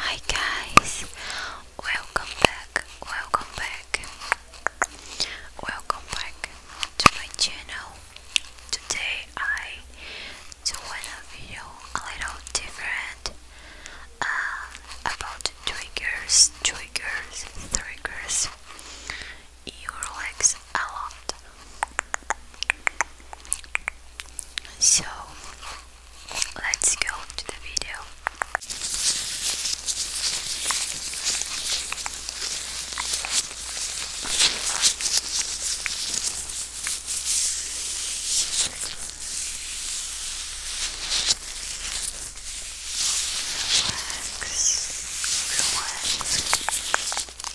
Hi guys, welcome back, welcome back, welcome back to my channel. Today I doing a video a little different uh, about triggers, triggers, triggers. You relax a lot, so let's go to the video. Relax, relax,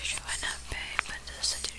Sure enough, babe, but this uh, is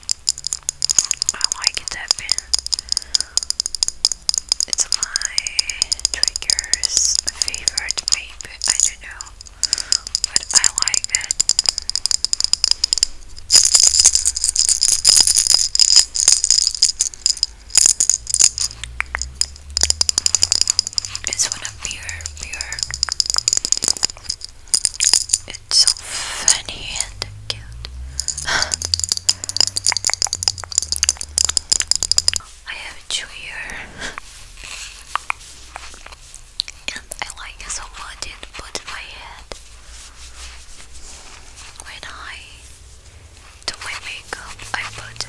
I like that pen. It's my triggers favorite maybe I don't know but I like it. It's one of pure pure so funny and cute. I have a chew here. and I like so much it put my head when I do my makeup I put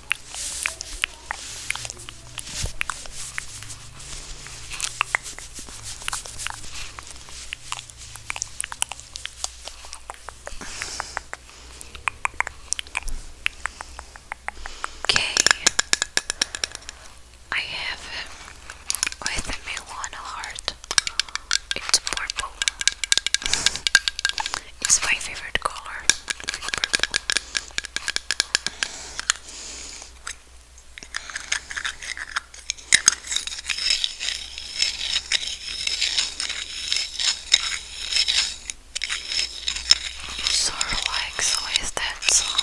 Okay, I have with me one heart. It's purple. It's my favorite color. Purple. like, so is that sound?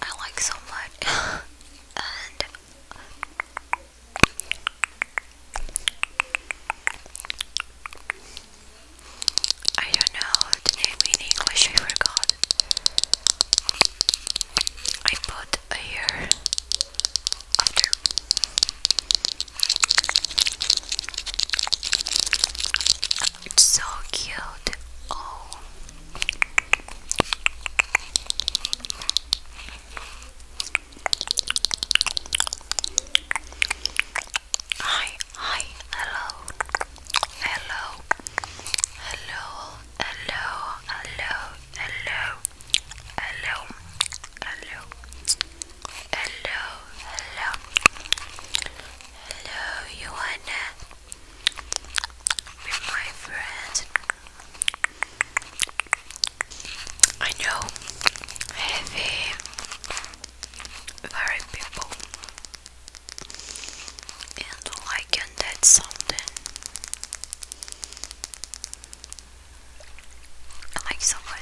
I like so much. and I don't know the name in English, I forgot. I put a year after. It's so cute. Oh. Hi, hi, hello, hello, hello, hello, hello, hello, hello, hello, hello, hello, you wanna with my friends. I know heavy, very people, and like and that's something. I like so much.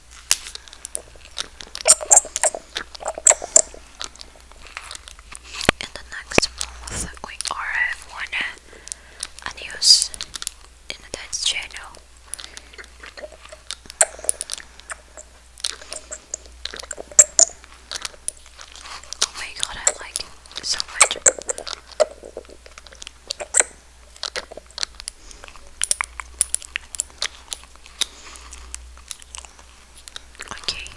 In the next month, we are one a news in the Dutch channel. Oh my god, I like it so much. Okay.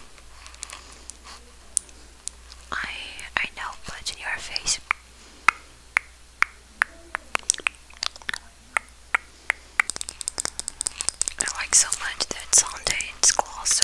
I I know, but in your face. I like so much that Sunday in school So.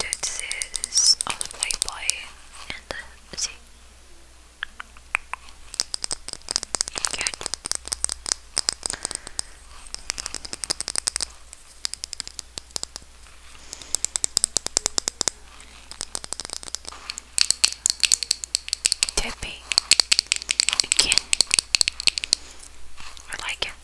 This is of Playboy and the Z. Good. Tipping. Begin. I like it.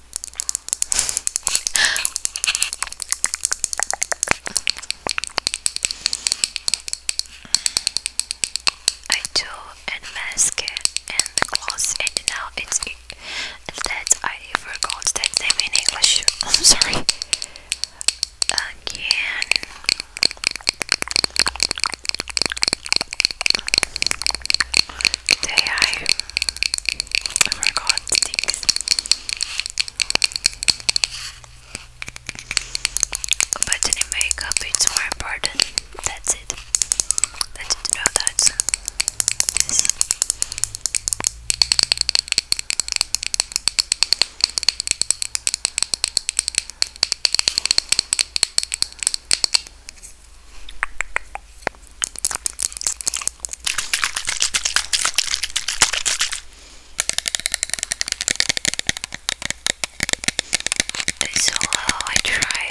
I do and mask and gloss and now it's that I forgot that name in English. I'm sorry again. Today I forgot sticks. But in makeup it's more important. That's it. That's it. No, that's it's so low, I try.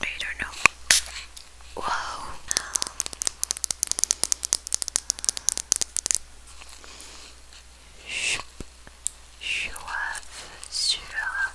I don't know. Wow. Suave, suave,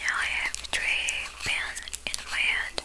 Now I have three pens in my hand.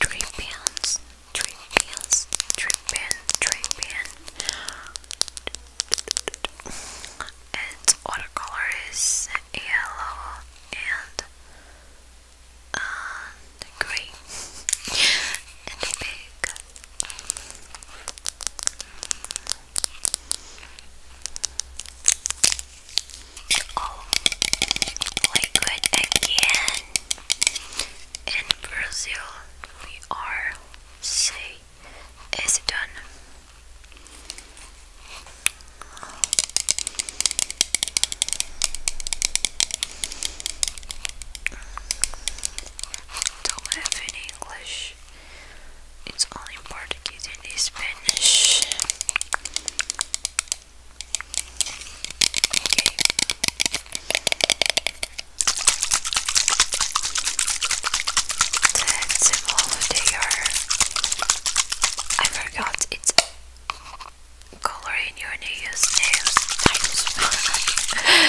Tripians, tripians, tripian, tripian. Its watercolor is yellow and uh, and green and big. Oh, liquid again. In Brazil, we are say is done don't have in English. It's only in Portuguese and in Spanish. Okay. That's symbol they are. I forgot its color in your New Year's names. Thanks.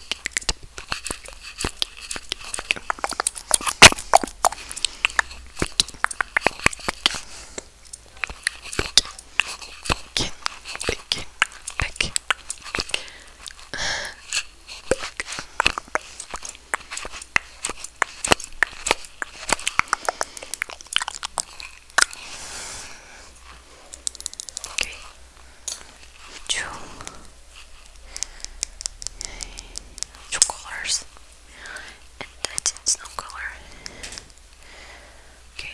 Bacon, bacon, bacon, bacon. Okay. Two two colors and that's it, no color okay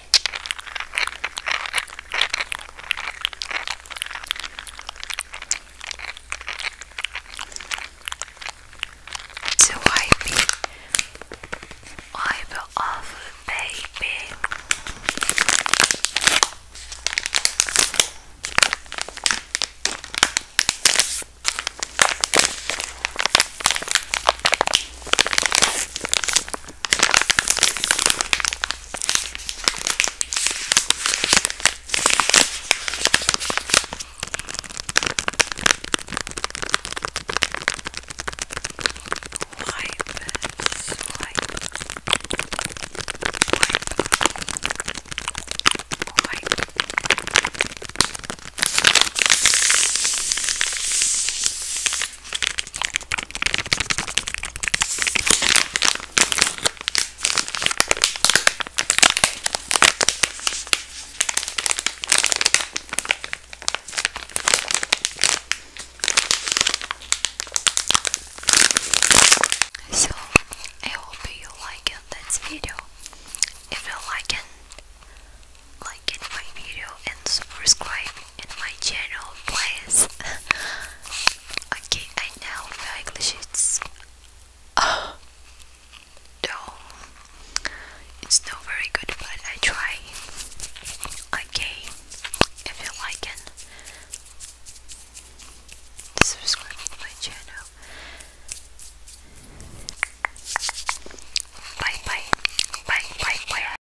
To wipe it, wipe it off, baby. Wipe. So, I hope you like this video. If you like it, like my video and subscribe in my channel, please. okay, I know my English is. Oh, no, it's not very good, but I try. Okay, if you like it, subscribe to my channel. Bye bye, bye bye bye.